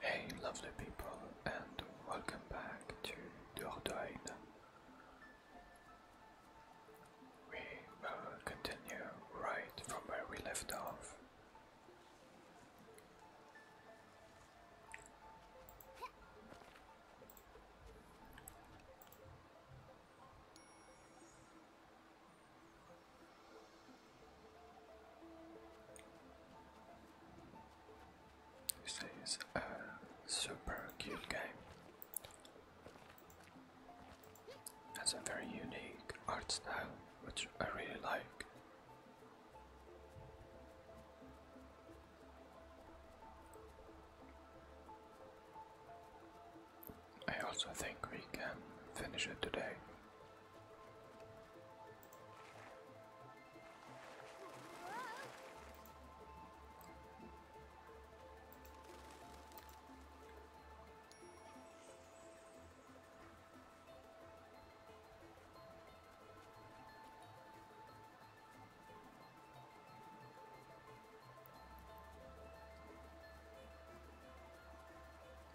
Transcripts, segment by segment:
Hey lovely people and welcome back to Dordogne. We will continue right from where we left off. This is a super cute game. Has a very unique art style, which I really like. I also think we can finish it today.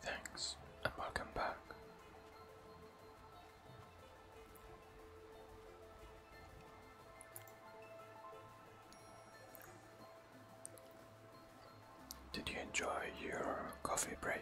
Thanks and welcome back. Did you enjoy your coffee break?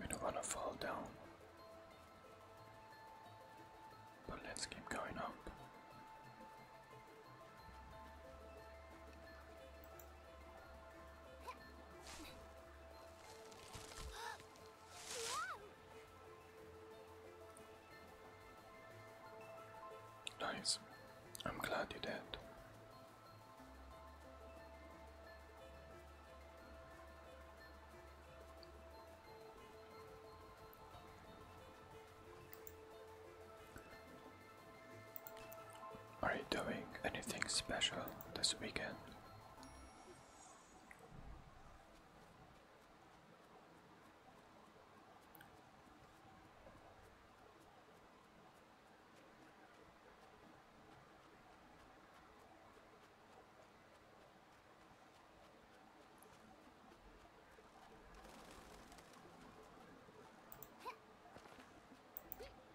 We don't want to fall down, but let's keep going up. Nice. I'm glad you did. Are you doing anything special this weekend?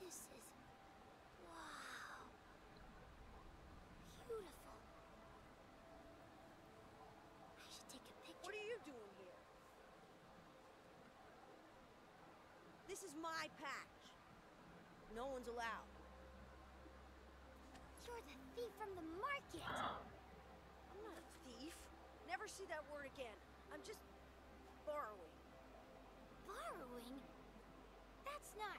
This is... wow! Beautiful. I should take a picture. What are you doing here? This is my patch. No one's allowed. You're the thief from the market! I'm not a thief. Never see that word again. I'm just... borrowing. Borrowing? That's not...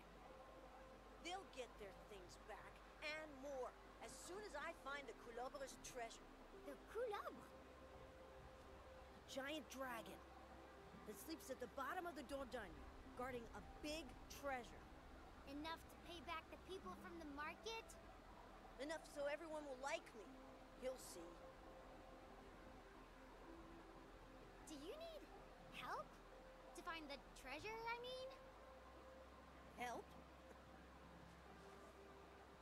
They'll get their things back, and more, as soon as I find the Culabre's treasure. The Coulobre? giant dragon that sleeps at the bottom of the Dordogne, guarding a big treasure. Enough to pay back the people from the market? Enough so everyone will like me. You'll see. Do you need help? To find the treasure, I mean? Help?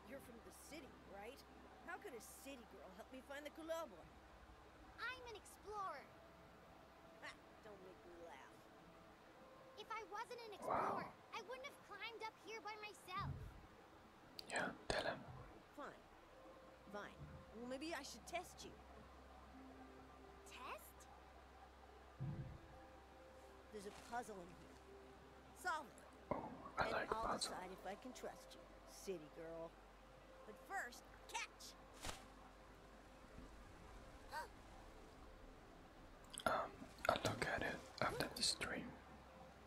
You're from the city, right? How can a city girl help me find the boy? I'm an explorer. If I wasn't an explorer, wow. I wouldn't have climbed up here by myself. Yeah, tell him. Fine. Fine. Well, maybe I should test you. Test? There's a puzzle in here. Solve it. Oh, I and I'll decide if I can trust you, city girl. But first, cat. Um, I'll look at it after the stream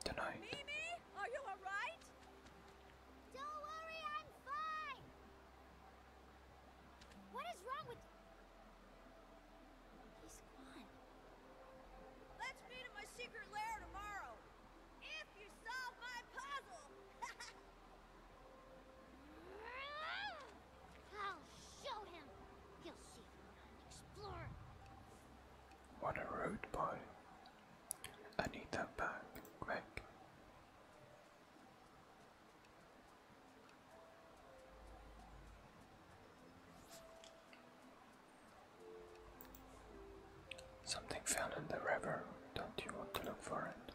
tonight. Mimi, are you alright? Don't worry, I'm fine. What is wrong with? He's gone. Let's meet at my secret lair tomorrow. If you solve my puzzle. I'll show him. You'll see. Explorer. What a rude boy. I need that back, quick. Something fell in the river. Don't you want to look for it?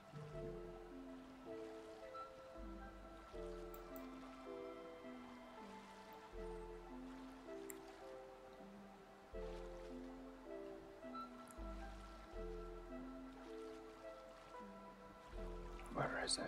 Where is it?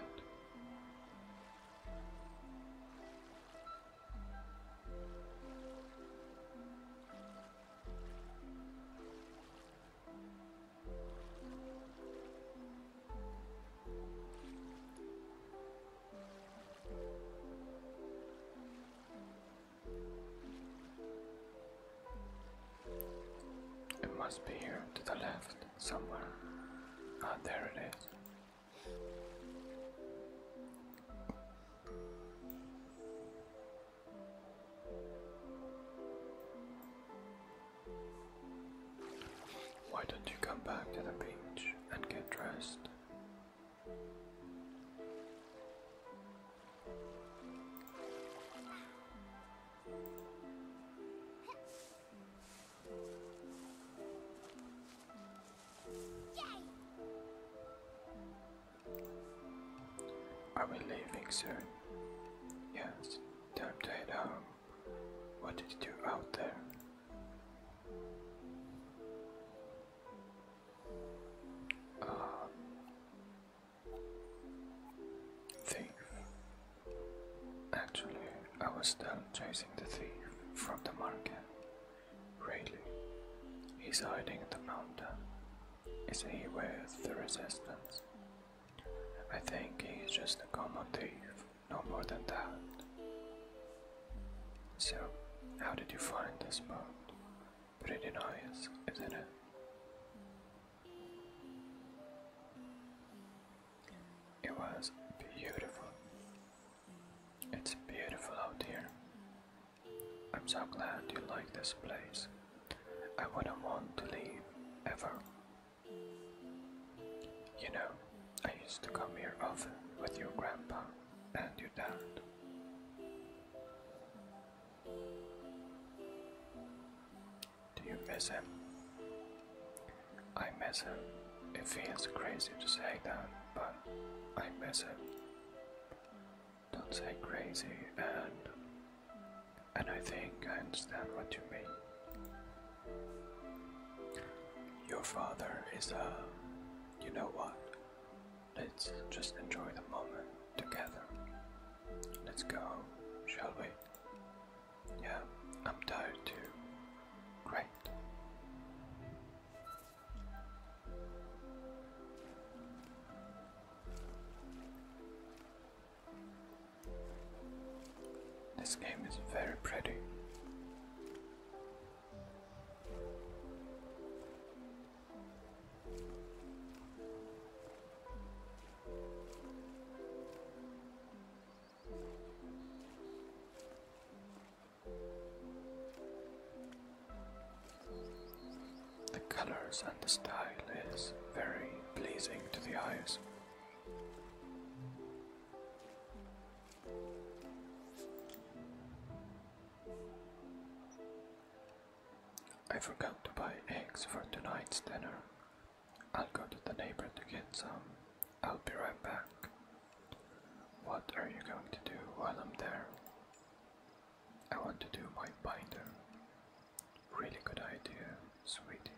It must be here to the left somewhere. Ah, there it is. Why don't you come back to the beach and get dressed? Are we leaving soon? Yes, time to head home. What did you do out there? Um, thief. Actually, I was still chasing the thief from the market. Really? He's hiding in the mountain. Is he with the resistance? I think he's just a common thief, no more than that. So, how did you find this spot? Pretty nice, isn't it? It was beautiful. It's beautiful out here. I'm so glad you like this place. I wouldn't want to leave ever. You know, I used to come here often with your grandpa and your dad. Do you miss him? I miss him. It feels crazy to say that, but I miss him. Don't say crazy and and I think I understand what you mean. Your father is a. Uh, you know what? Let's just enjoy the moment together. Let's go, shall we? Yeah, I'm tired too. Great. This game is very pretty. The colors and the style is very pleasing to the eyes. I forgot to buy eggs for tonight's dinner. I'll go to the neighbor to get some. I'll be right back. What are you going to do while I'm there? I want to do my binder. Really good idea, sweetie.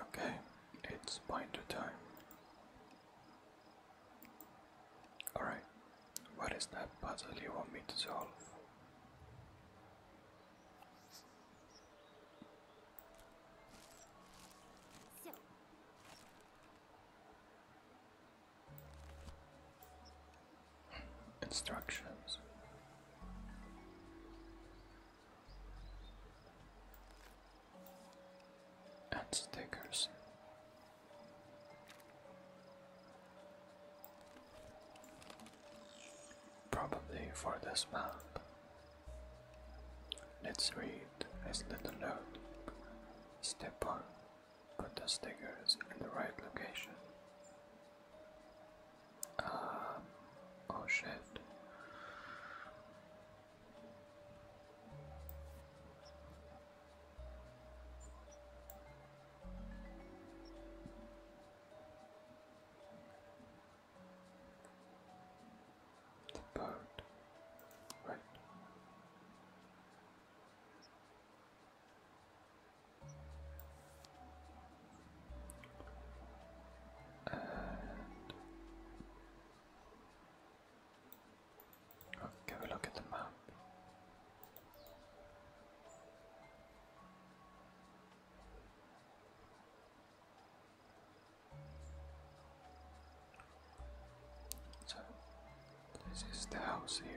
Okay, it's binder time. Alright, what is that puzzle you want me to solve? Instructions. And stickers. Probably for this map. Let's read his little note. Step 1 Put the stickers in the right location. Um, oh shit. The bird, right? Let's can we look at the map? So, this is the house here.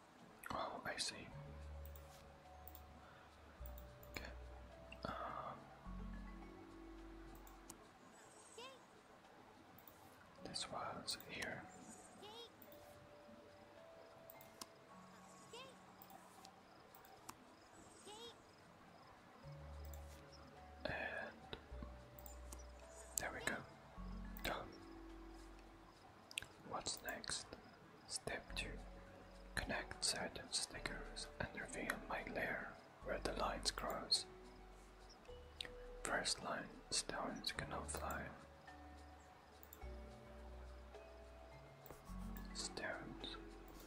Oh, I see. Okay. Um, this was here. And there we go. Done. What's next? Step 2. Connect certain stickers and reveal my lair, where the lines cross. First line, stones cannot fly. Stones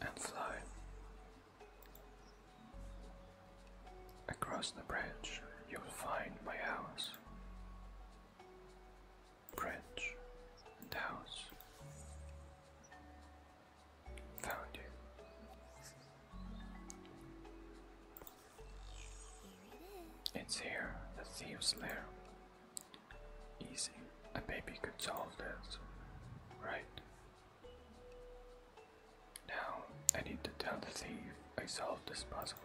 and fly. Across the bridge, you'll find my house branch and house. Found you. It's here, the thieves' there. Easy. A baby could solve this, right? Now I need to tell the thief I solved this puzzle.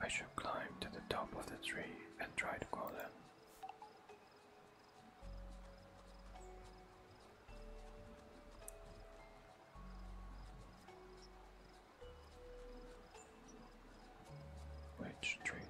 I should climb to the top of the tree and try to call him. Which tree?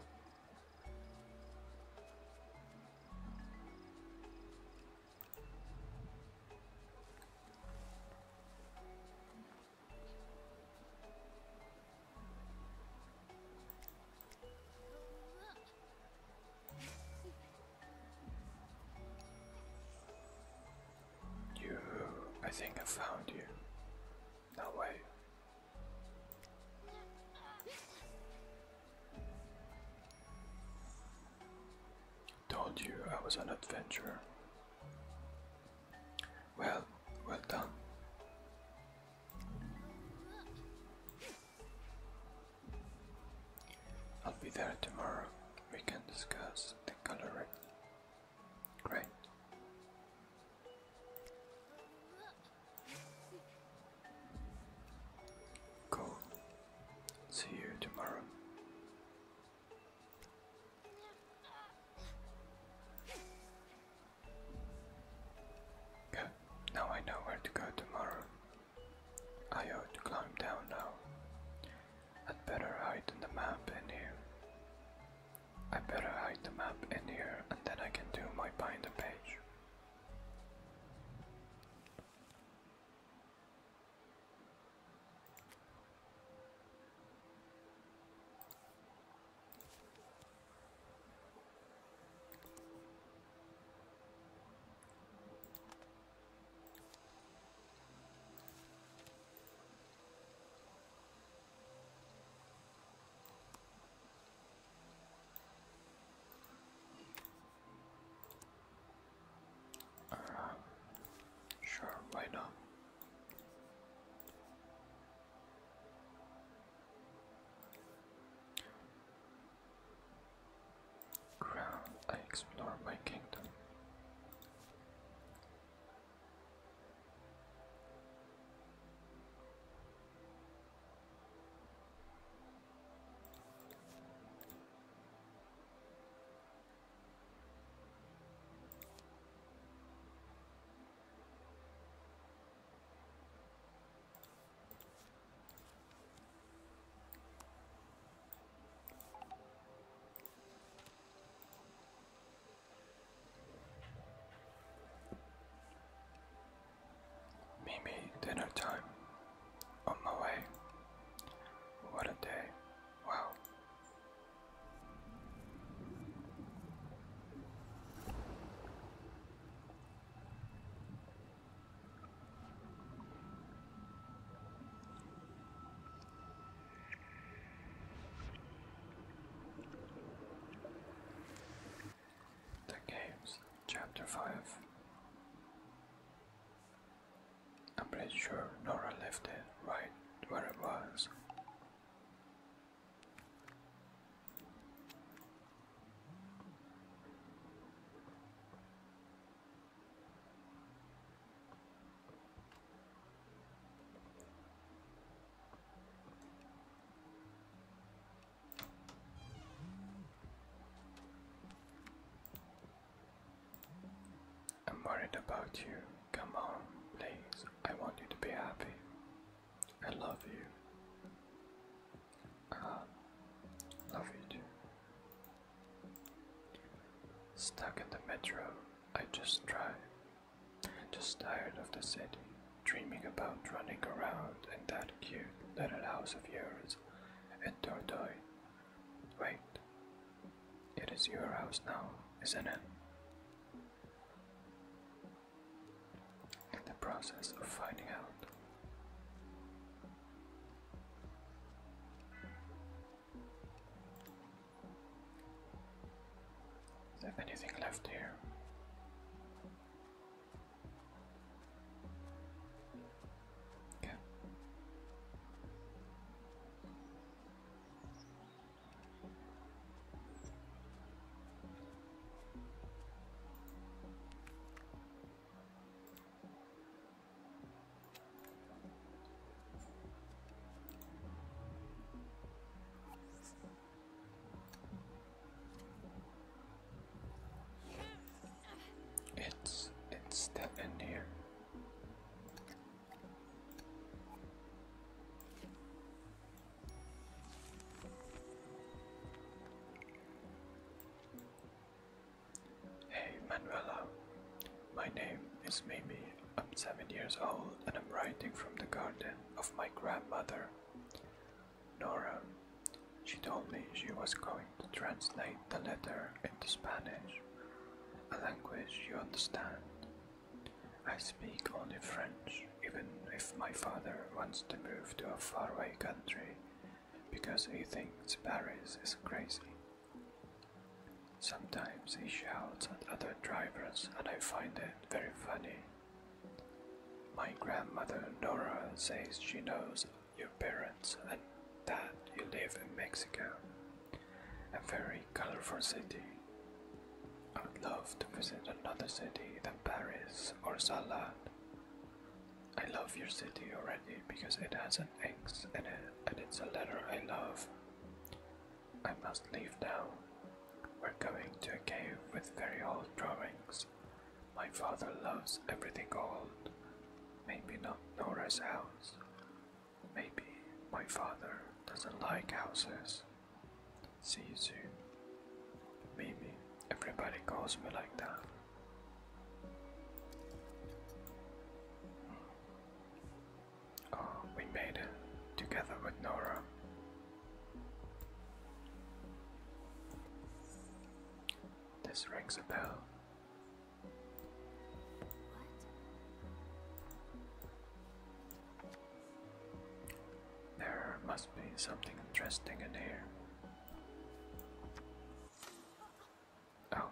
You, I think I found you. No way. Told you I was an adventurer. Well, well done. I'll be there tomorrow. We can discuss the color. Great. Cool. See you tomorrow. Good, now I know where to go tomorrow. I ought to climb down now. I'd better hide the map in here. I better hide the map in here and then I can do my binder page. Uh, sure, why not? Ground, I explore my kingdom. Mimi, dinner time. On my way. What a day. Wow. The Games, Chapter 5. I'm pretty sure Nora left it right where it was. I'm worried about you. Come on, please. I want you to be happy. I love you. Uh, love you too. Stuck in the metro, I just drive. Just tired of the city, dreaming about running around in that cute little house of yours in Dordoy. Wait, it is your house now, isn't it? in the process of finding out. Is there anything left here? Okay. It's it's still in here. Hey Manuela, my name is Mimi. I'm seven years old and I'm writing from the garden of my grandmother, Nora. She told me she was going to translate the letter into Spanish, a language you understand. I speak only French, even if my father wants to move to a faraway country because he thinks Paris is crazy. Sometimes he shouts at other drivers, and I find it very funny. My grandmother Nora says she knows your parents and that you live in Mexico, a very colorful city. I would love to visit another city than Paris or Salad. I love your city already because it has an X in it and it's a letter I love. I must leave now. We're going to a cave with very old drawings. My father loves everything old. Maybe not Nora's house. Maybe my father doesn't like houses. See you soon. Maybe everybody calls me like that. Oh, we made it together with Nora. This rings a bell. There must be something interesting in here. Oh.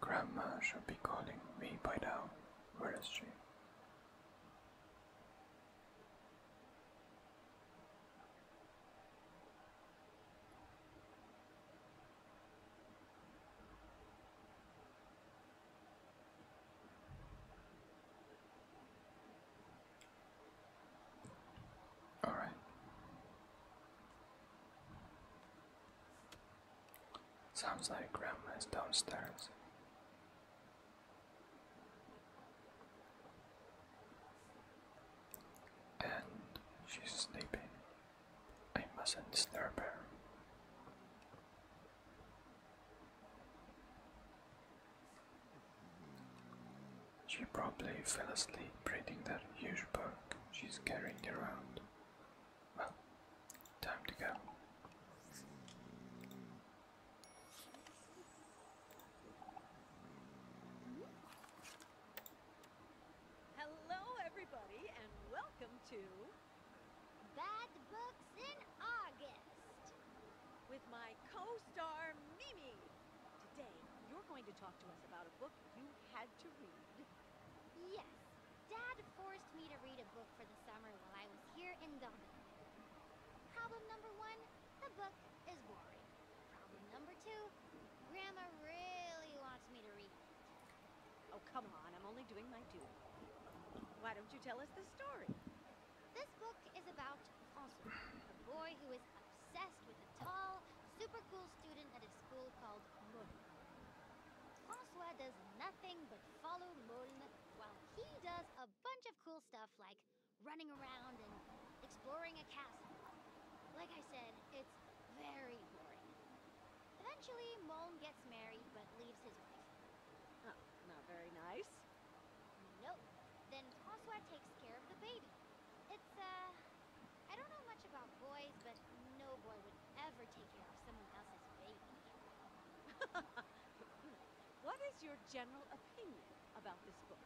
Grandma should be calling me by now. Where is she? All right. Sounds like grandma is downstairs. And she's sleeping. I mustn't disturb her. She probably fell asleep reading that huge book she's carrying around. Well, time to go. Hello, everybody, and welcome to Bad Book in August with my co-star Mimi. Today, you're going to talk to us about a book you had to read. Yes. Dad forced me to read a book for the summer while I was here in Dublin. Problem number one, the book is boring. Problem number two, Grandma really wants me to read it. Oh, come on. I'm only doing my duty. Why don't you tell us the story? This book is about Ansu, a boy who is obsessed with a tall, super cool student at a school called Moln. Francois does nothing but follow Moln while he does a bunch of cool stuff like running around and exploring a castle. Like I said, it's very boring. Eventually, Moln gets married but leaves his wife not very nice. Nope. Then Toswa takes care of the baby. It's, uh... I don't know much about boys, but no boy would ever take care of someone else's baby. what is your general opinion about this book?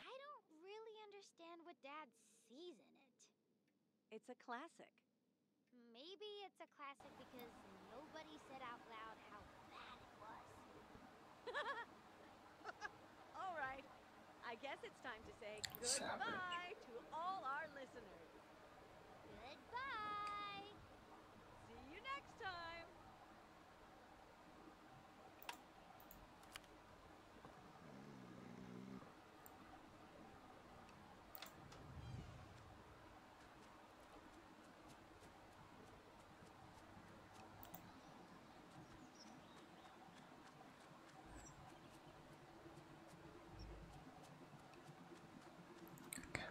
I don't really understand what Dad sees in it. It's a classic. Maybe it's a classic because nobody said out loud how bad it was. all right. I guess it's time to say goodbye to all our listeners. Goodbye. See you next time. Okay.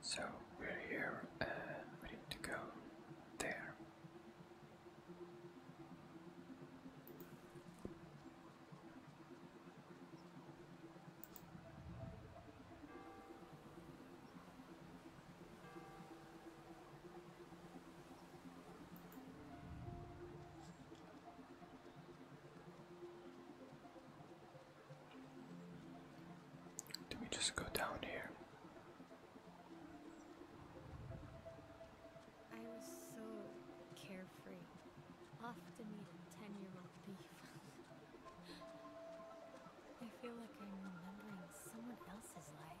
So we're here and we need to go there. Do we just go down here? I was so carefree. Off to meet a ten-year-old thief. I feel like I'm remembering someone else's life.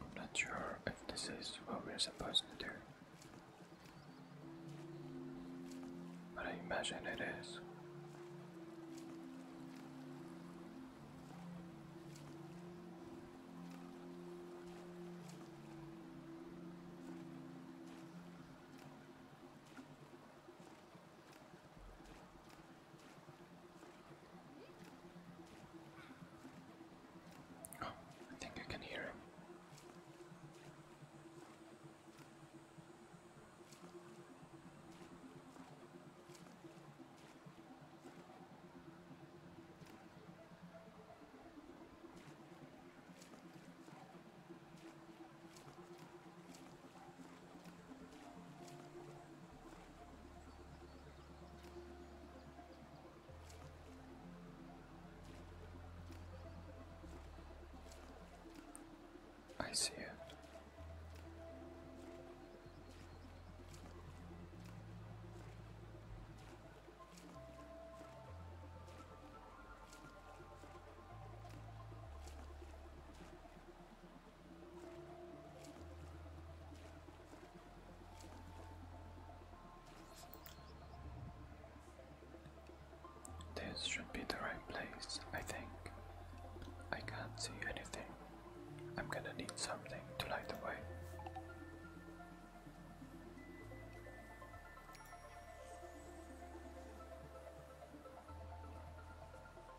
I'm not sure if this is what we're supposed to do, but I imagine it is. Oh, I think I can hear him. I see it. This should be the right place, I think. I can't see anything. I'm gonna need something to light the way.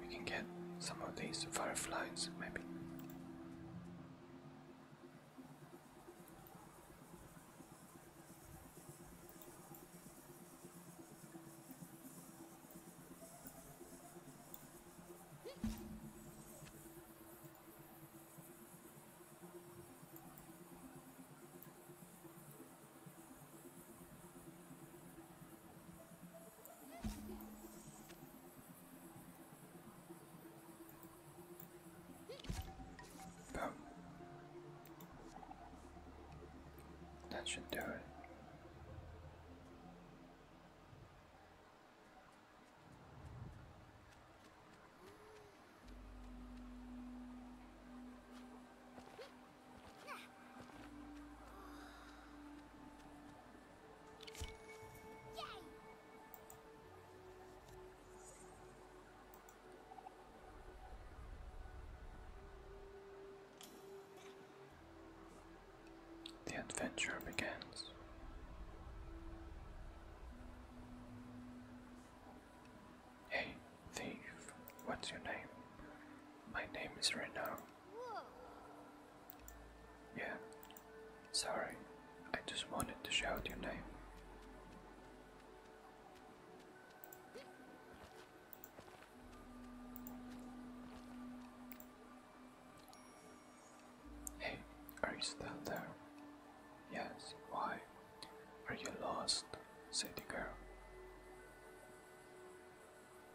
we can get some of these fireflies, maybe. Boom. That should do it. The adventure begins. Hey, thief, what's your name? My name is Reno. Yeah, sorry, I just wanted to shout your name. Hey, are you still there? Yes, why? Are you lost? said the girl.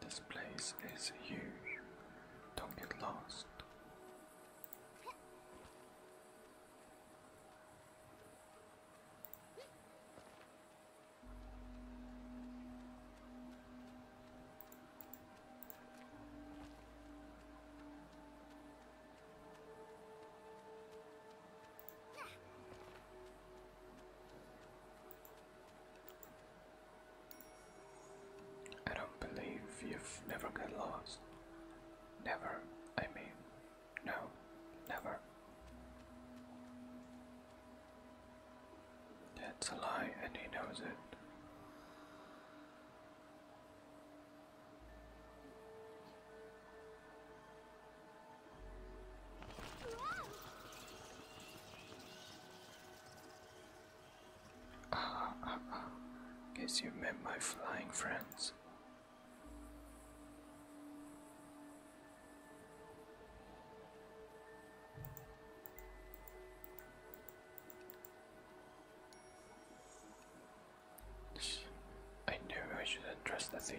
This place is huge. Don't get lost. I don't believe you've never got lost. Never, I mean, no, never. That's a lie, and he knows it. Ah, Guess you met my flying friends. I knew I shouldn't trust the thief.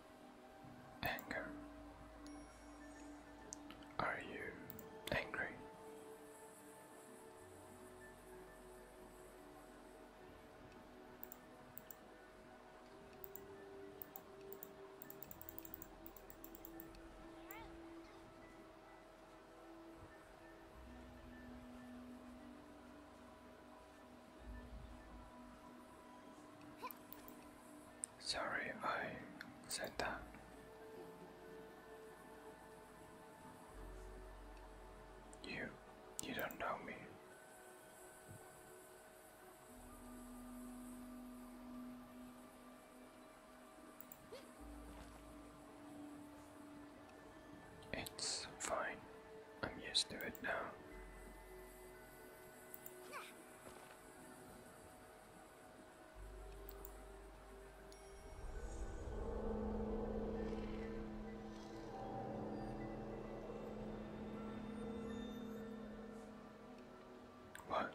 Anger. Are you angry? Sorry, I said that. You, you don't know me. It's fine. I'm used to it now. What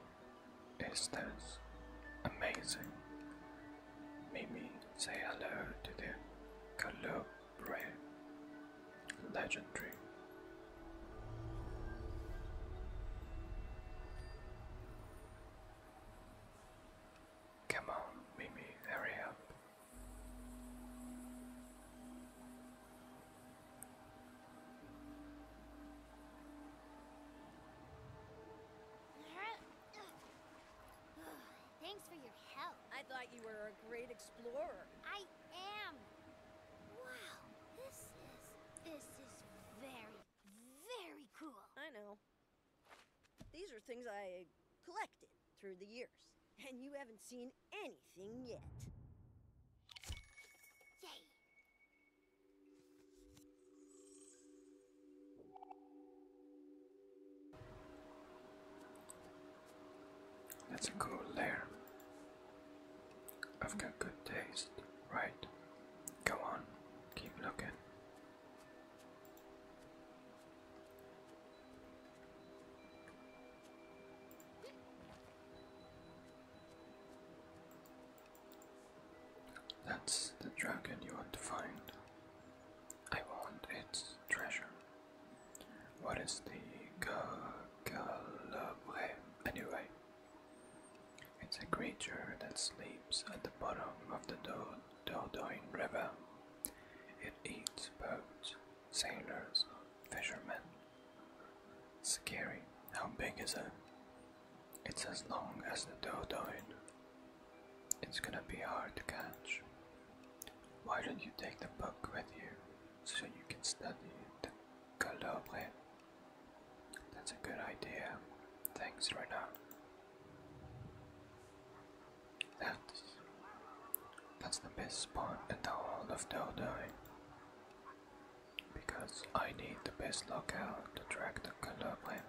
is this? Amazing. Mimi, say hello to the Kalu Prayer. Legendary. Come on, Mimi, hurry up. Thanks for your help. I thought you were a great explorer. I am. Wow, this is, this is very, very cool. I know. These are things I collected through the years, and you haven't seen anything yet. Yay! That's a cool layer. I've got good taste, right? Go on, keep looking. That's the dragon you want to find. I want its treasure. What is the Calabre? Anyway, it's a creature that sleeps at the bottom of the Dordogne River. It eats boats, sailors, fishermen. Scary. How big is it? It's as long as the Dordogne. It's gonna be hard to catch. Why don't you take the book with you? so you can study the color That's a good idea. Thanks, Renard. That's, that's the best spot in the whole of Doldine. Because I need the best locale to track the Colorblind.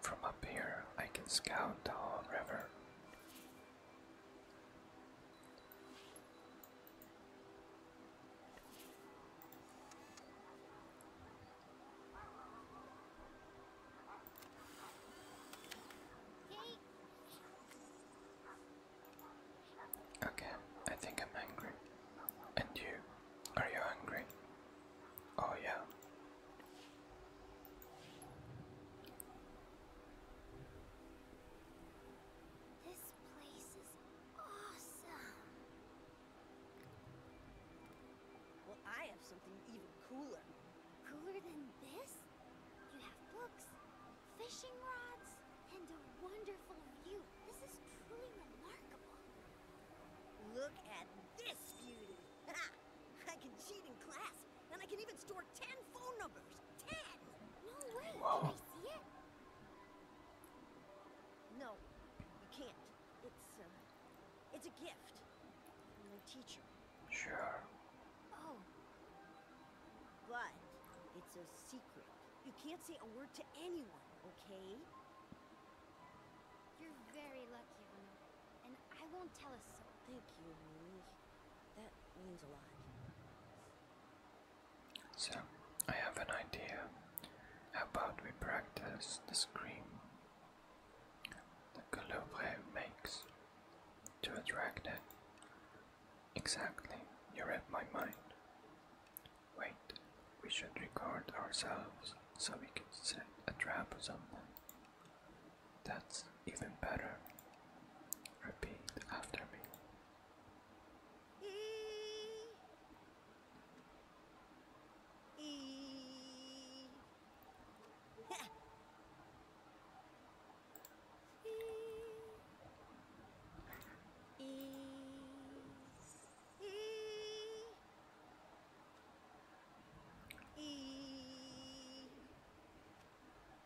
From up here, I can scout the whole river. Okay, I think I'm angry. And you? Are you angry? Oh, yeah. This place is awesome. Well, I have something even cooler. Cooler than this? You have books, fishing rods, and a wonderful view. This is truly remarkable. Look at this beauty! I can cheat in class, and I can even store ten phone numbers. Ten! No way! Whoa. I see it? No, you can't. It's, uh, it's a gift from your teacher. Sure. Oh. But it's a secret. You can't say a word to anyone, okay? You're very lucky, And I won't tell a soul. Thank you, that means a lot. So, I have an idea. How about we practice the scream that Colobre makes to attract it? Exactly, you read my mind. Wait, we should record ourselves so we can set a trap or something. That's even better. Repeat after me. E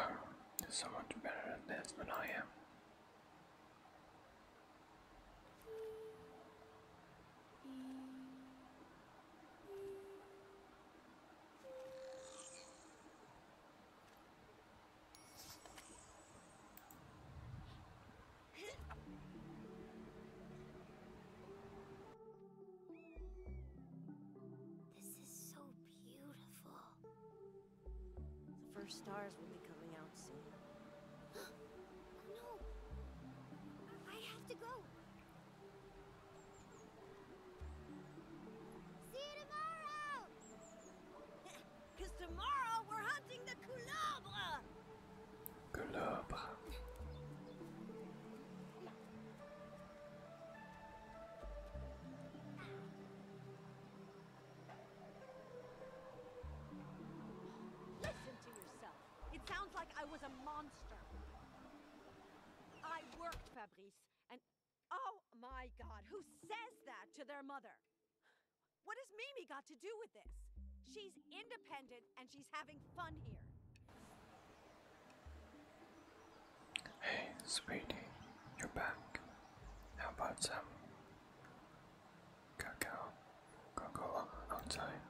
Well, there's so much better than this than I am. This is so beautiful. The first stars will be coming out soon. no! I have to go! See you tomorrow! tomorrow we're hunting the coulobre! Coulobre. Listen to yourself. It sounds like I was a monster. I worked, Fabrice, and oh my god, who says that to their mother? What has Mimi got to do with this? She's independent and she's having fun here. Hey, sweetie, you're back. How about some cacao, cocoa outside?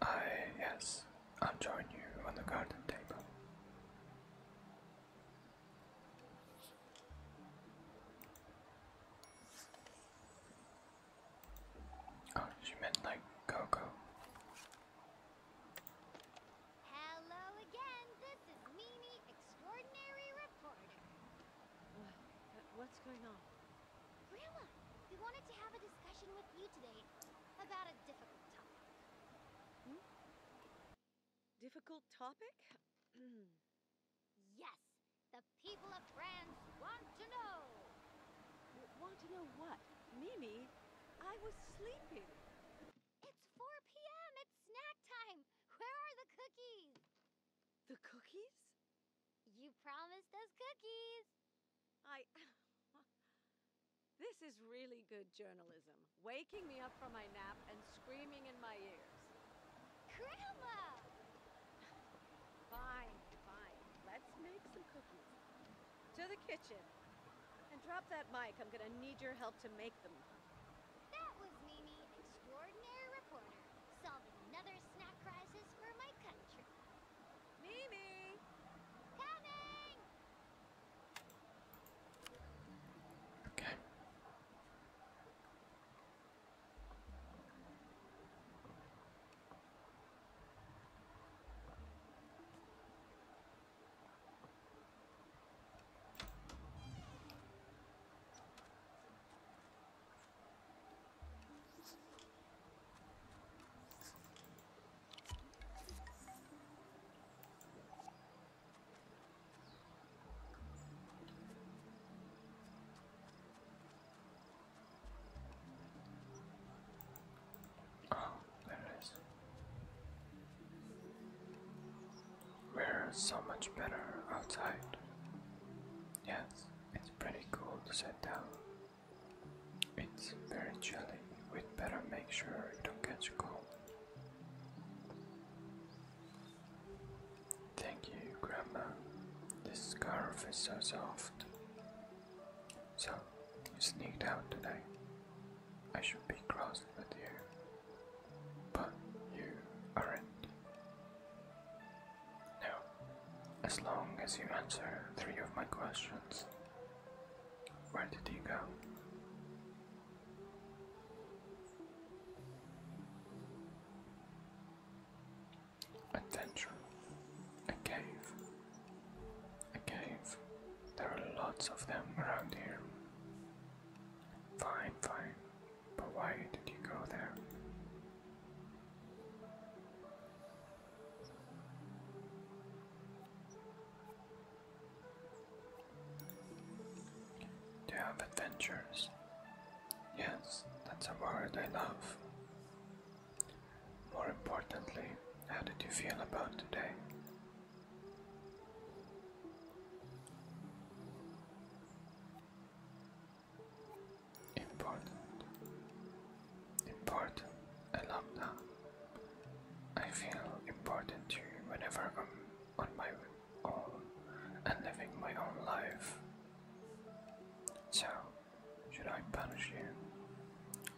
I, yes, I'll join you on the garden table. Oh, she meant like Coco. Hello again. This is Mimi, extraordinary reporter. what's going on? Grandma, we wanted to have a discussion with you today about a difficult topic. Hmm? Difficult topic? yes, the people of Trans want to know. want to know what? Mimi, I was sleeping. It's 4 p.m. It's snack time. Where are the cookies? The cookies? You promised us cookies. I. this is really good journalism. Waking me up from my nap and screaming in my ears. Grandma! Fine, fine. Let's make some cookies. To the kitchen. And drop that mic. I'm gonna need your help to make them. That was Mimi, extraordinary reporter, solving another snack crisis for my country. Mimi! Coming! Okay. Oh, there it is. We're so much better outside. Yes, it's pretty cool to sit down it's very chilly. We'd better make sure you don't catch a cold. Thank you, Grandma. This scarf is so soft. So, you sneaked out today. I should be crossed with you. But you aren't. No, as long as you answer three of my questions. Where did you go? Attention. A cave. A cave. There are lots of them around here. Fine, fine. But why did you go there? Do you have adventures? Yes, that's a word I love. More importantly, how did you feel about today? Important important. I I feel important to you whenever I'm on my own and living my own life. So, should I punish you?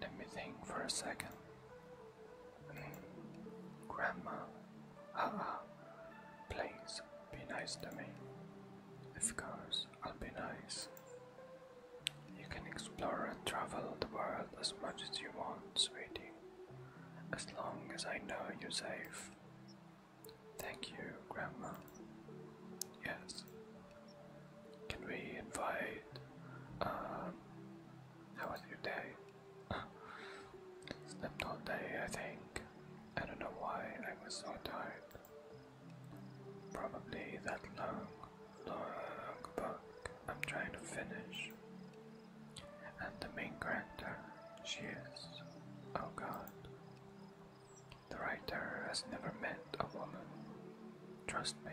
Let me think for a second. Mm. Grandma, haha, please be nice to me. Of course, I'll be nice. You can explore and travel the world as much as you want, sweetie. As long as I know you're safe. Thank you, Grandma. Yes. Can we invite. Um, how was your day? Slept all day, I think. I don't know why I was so tired. Probably that long, long book I'm trying to finish. And the main character, she is, oh god. The writer has never met a woman, trust me.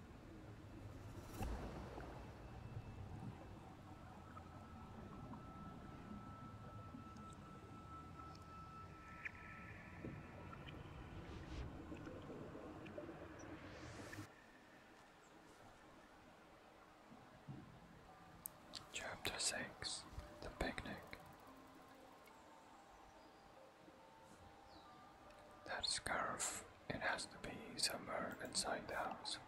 Chapter 6 The Picnic that scarf, it has to be somewhere inside the house.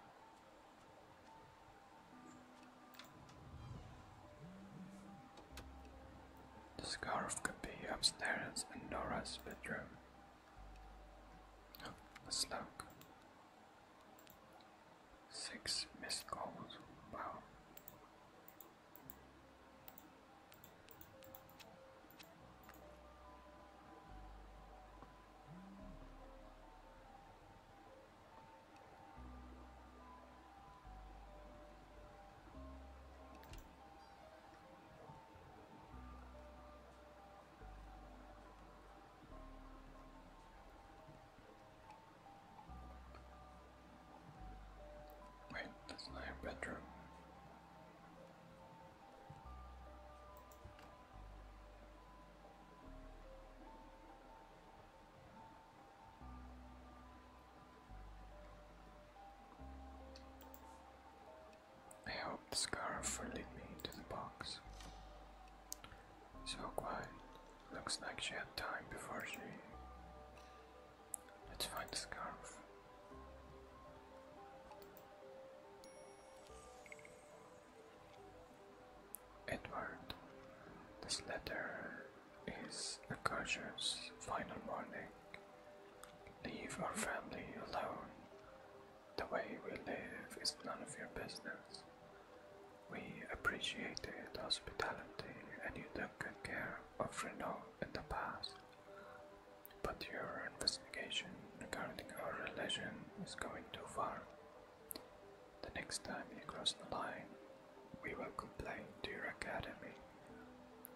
The scarf could be upstairs in Nora's bedroom. let's look. Six missed calls. Wow. Wait, that's not a bedroom. I hope the scarf will lead me into the box. So quiet. Looks like she had time before she. Let's find the scarf. Edward, this letter is a courteous final warning. Leave our family alone. The way we live is none of your business. We appreciated hospitality and you took good care of Renault in the past. But your investigation regarding our relation is going too far. The next time you cross the line, we will complain to your academy,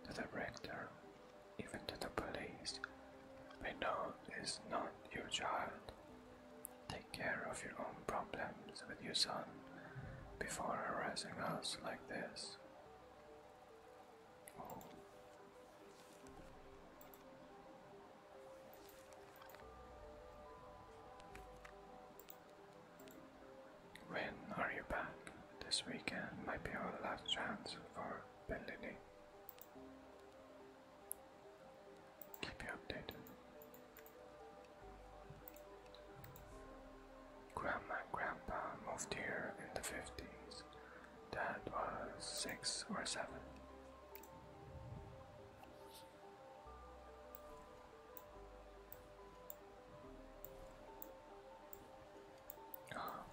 to the rector, even to the police. We know this is not your child. Take care of your own problems with your son before harassing us like this. When are you back? This weekend might be our last chance for Bellini. Keep you updated. Grandma and Grandpa moved here in the 50s that was six or seven. Oh.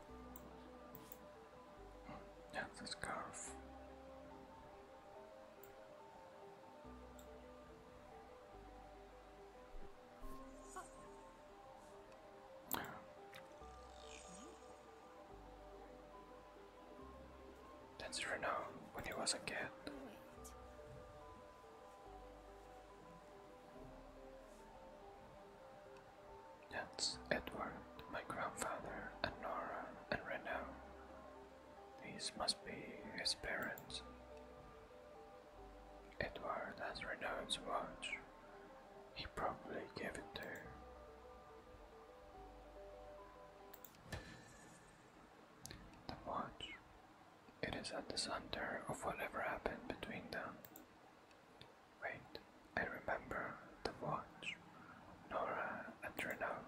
That's a scarf. That's renowned when he was a kid. That's Edward, my grandfather, and Nora, and Renaud. These must be his parents. Edward has Renaud's watch probably gave it to The watch. It is at the center of whatever happened between them. Wait, I remember the watch. Nora and Renault.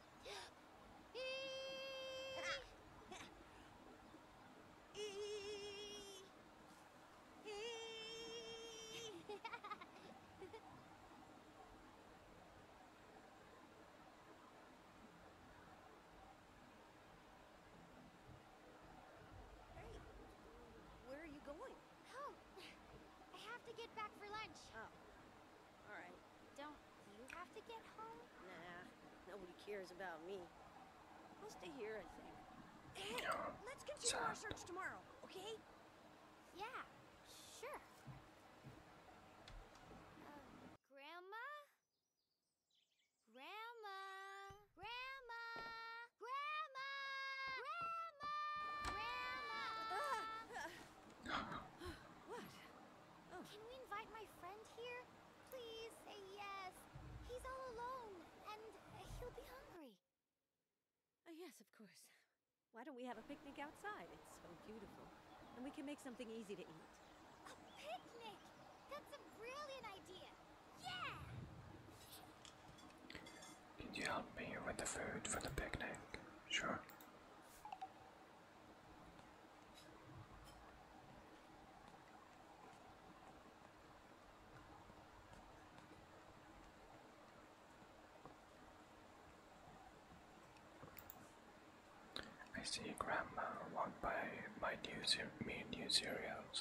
Where are you going? Oh, I have to get back for lunch. Oh. All right. Don't you have to get home? Nah, nobody cares about me. I'll stay here, I think. let's continue our search tomorrow, okay? Yeah, sure. Uh, Grandma? Grandma! Grandma! Grandma! Grandma! Grandma! Ah, ah. what? Oh. Can we invite my friend here? Please say yes. He's all alone, and he'll be hungry. Uh, yes, of course. Why don't we have a picnic outside? It's so beautiful. And we can make something easy to eat. A picnic! That's a brilliant idea! Yeah! Can you help me with the food for the picnic? Sure. I see Grandma walk by my new me new cereals.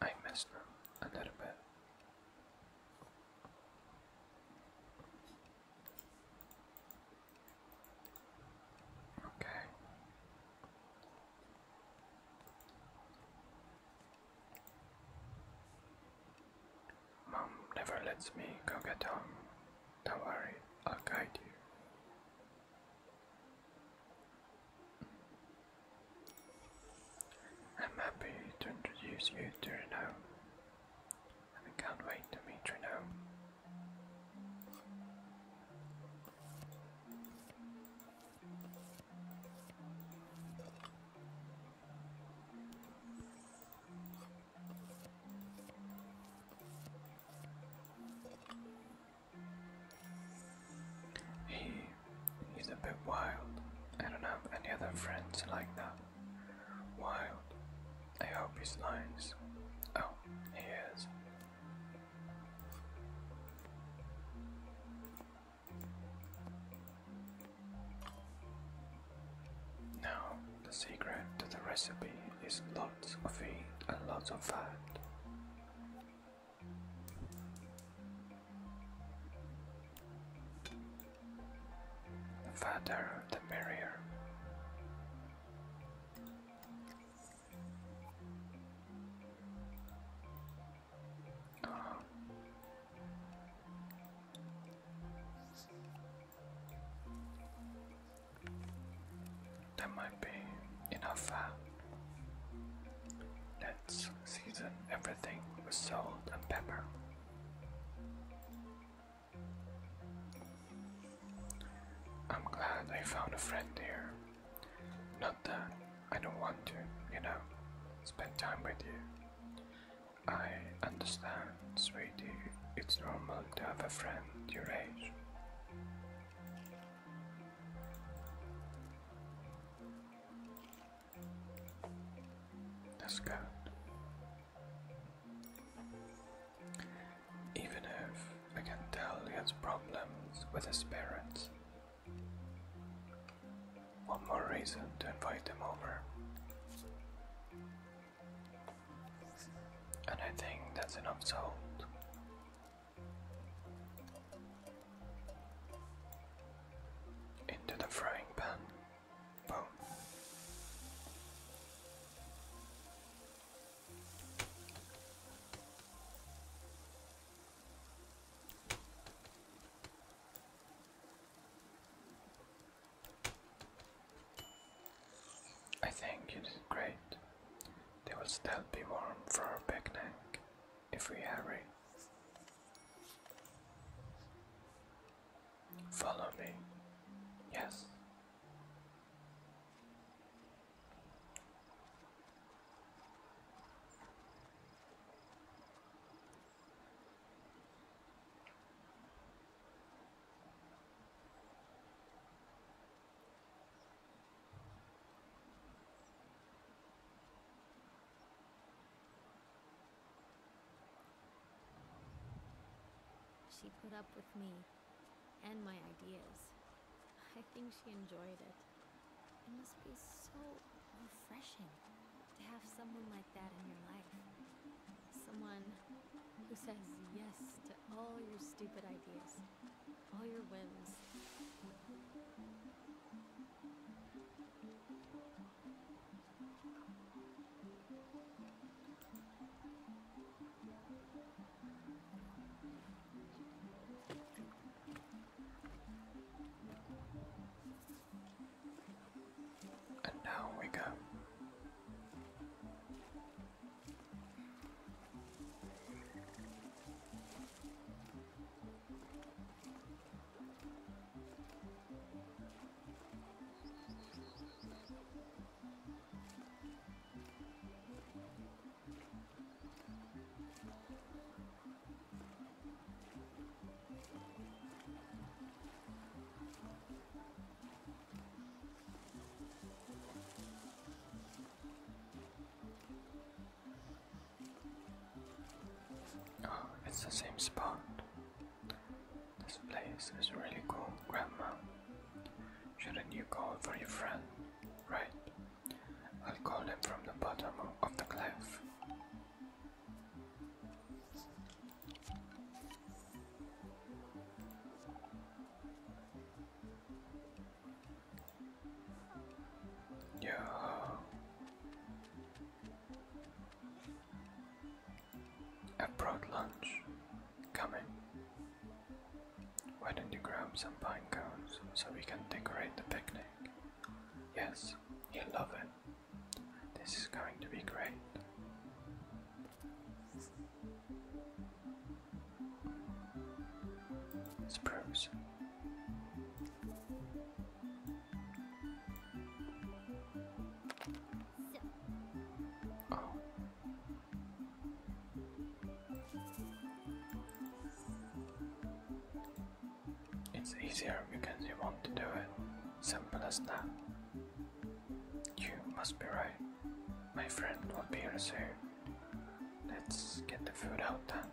I miss them a little bit. Okay. Mom never lets me go get home. Don't worry, I'll guide you. I'm happy to introduce you to Renault. I can't wait to meet Renault. He he's a bit wild. I don't have any other friends like that. Wild, I hope he's nice. Oh, he is. Now, the secret to the recipe is lots of feed and lots of fat. The fatter the merrier. That might be enough. Uh, let's season everything with salt and pepper. I'm glad I found a friend here. Not that I don't want to, you know, spend time with you. I understand, sweetie, it's normal to have a friend your age. That's good. Even if I can tell he has problems with his parents. One more reason to invite him over. And I think that's enough salt. Into the frying pan. Boom. I think it is great. They will still be warm for our picnic if we hurry. Follow me. Yes she put up with me and my ideas. I think she enjoyed it. It must be so refreshing to have someone like that in your life. Someone who says yes to all your stupid ideas, all your whims. And now we go. Oh, it's the same spot. This place is really cool, Grandma. Should a new call for your friend. Right. I'll call him from the bottom of the cliff. Yeah. I brought lunch coming. Why don't you grab some pine cones so we can decorate the picnic? Yes, you'll love it. This is going to be great. Spruce. Oh, it's easier because you want to do it. Simple as that. You must be right. My friend will be here say? Let's get the food out then.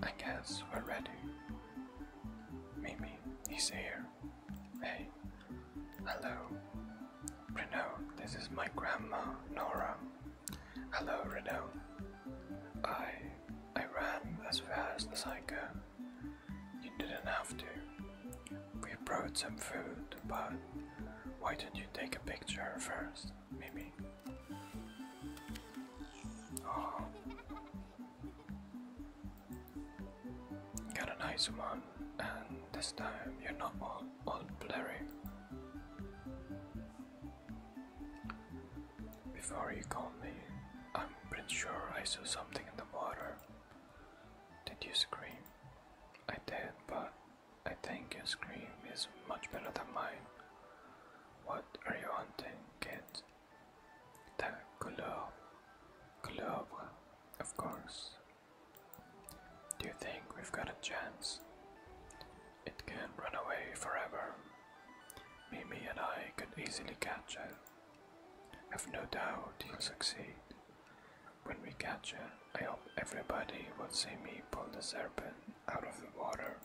I guess we're ready. Mimi he's here. Hey, hello. Renault. this is my grandma, Nora. Hello, Renault. I, I ran as fast as I could. You didn't have to. We brought some food, but why don't you take a picture first, Mimi? Oh, Got a nice one, and this time you're not all, blurry. Before you call me, I'm pretty sure I saw something in the water. Did you scream? I did, but I think your scream is much better than mine. What are you hunting, kid? the globe, globe, of course. Do you think we've got a chance? It can run away forever. Mimi and I could easily catch it. I've no doubt you'll succeed. When we catch it, I hope everybody will see me pull the serpent out of the water.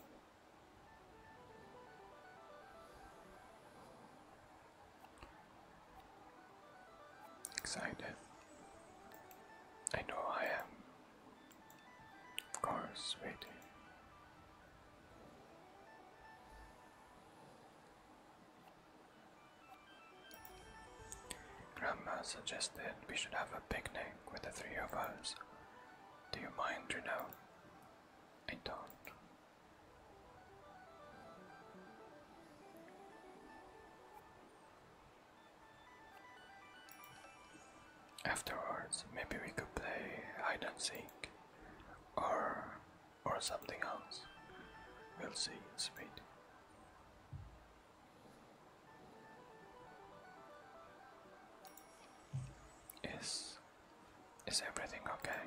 Excited. I know I am. Of course, waiting. Grandma suggested we should have a picnic with the three of us. Do you mind, Juno? I don't. Afterwards, maybe we could play hide and seek or or something else. We'll see, sweet. Yes. Is everything okay?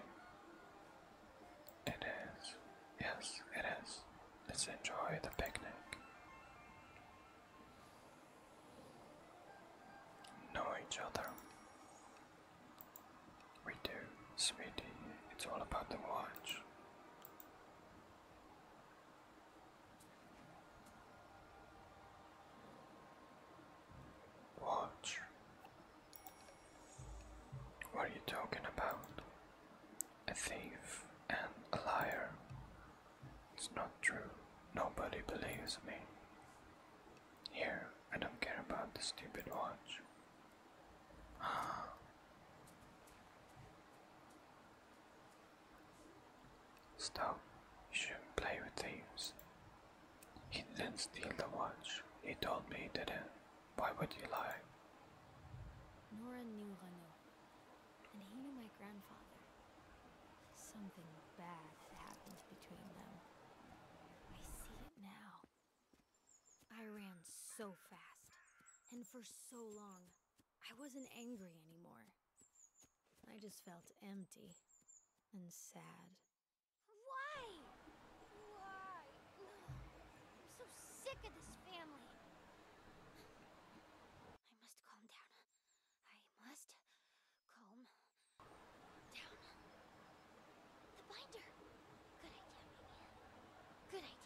It is. Yes, it is. Let's enjoy the picnic. Know each other. We do, sweetie. It's all about the watch. Watch. What are you talking about? A thief and a liar. It's not true. Nobody believes me. Here, I don't care about the stupid watch. Ah. Stop. You shouldn't play with thieves. He didn't steal the watch. He told me he didn't. Uh, Why would you lie? Nora knew Renaud, and he knew my grandfather. Something bad happened between them. I see it now. I ran so fast, and for so long, I wasn't angry anymore. I just felt empty and sad why? Why? I'm so sick of this family. I must calm down. I must calm down. The binder. Good idea, Good idea.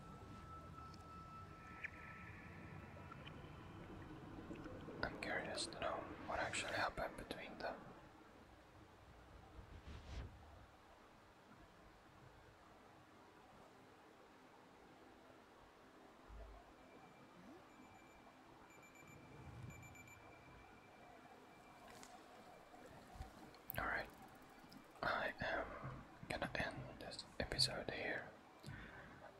I'm curious to know what actually happened between them. Alright, I am gonna end this episode here.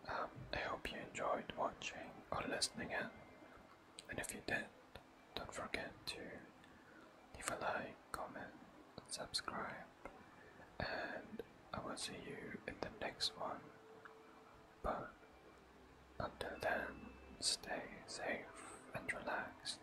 Um, I hope you enjoyed watching or listening And if you did, don't forget to leave a like, comment, subscribe, and I will see you in the next one. But until then, stay safe and relaxed.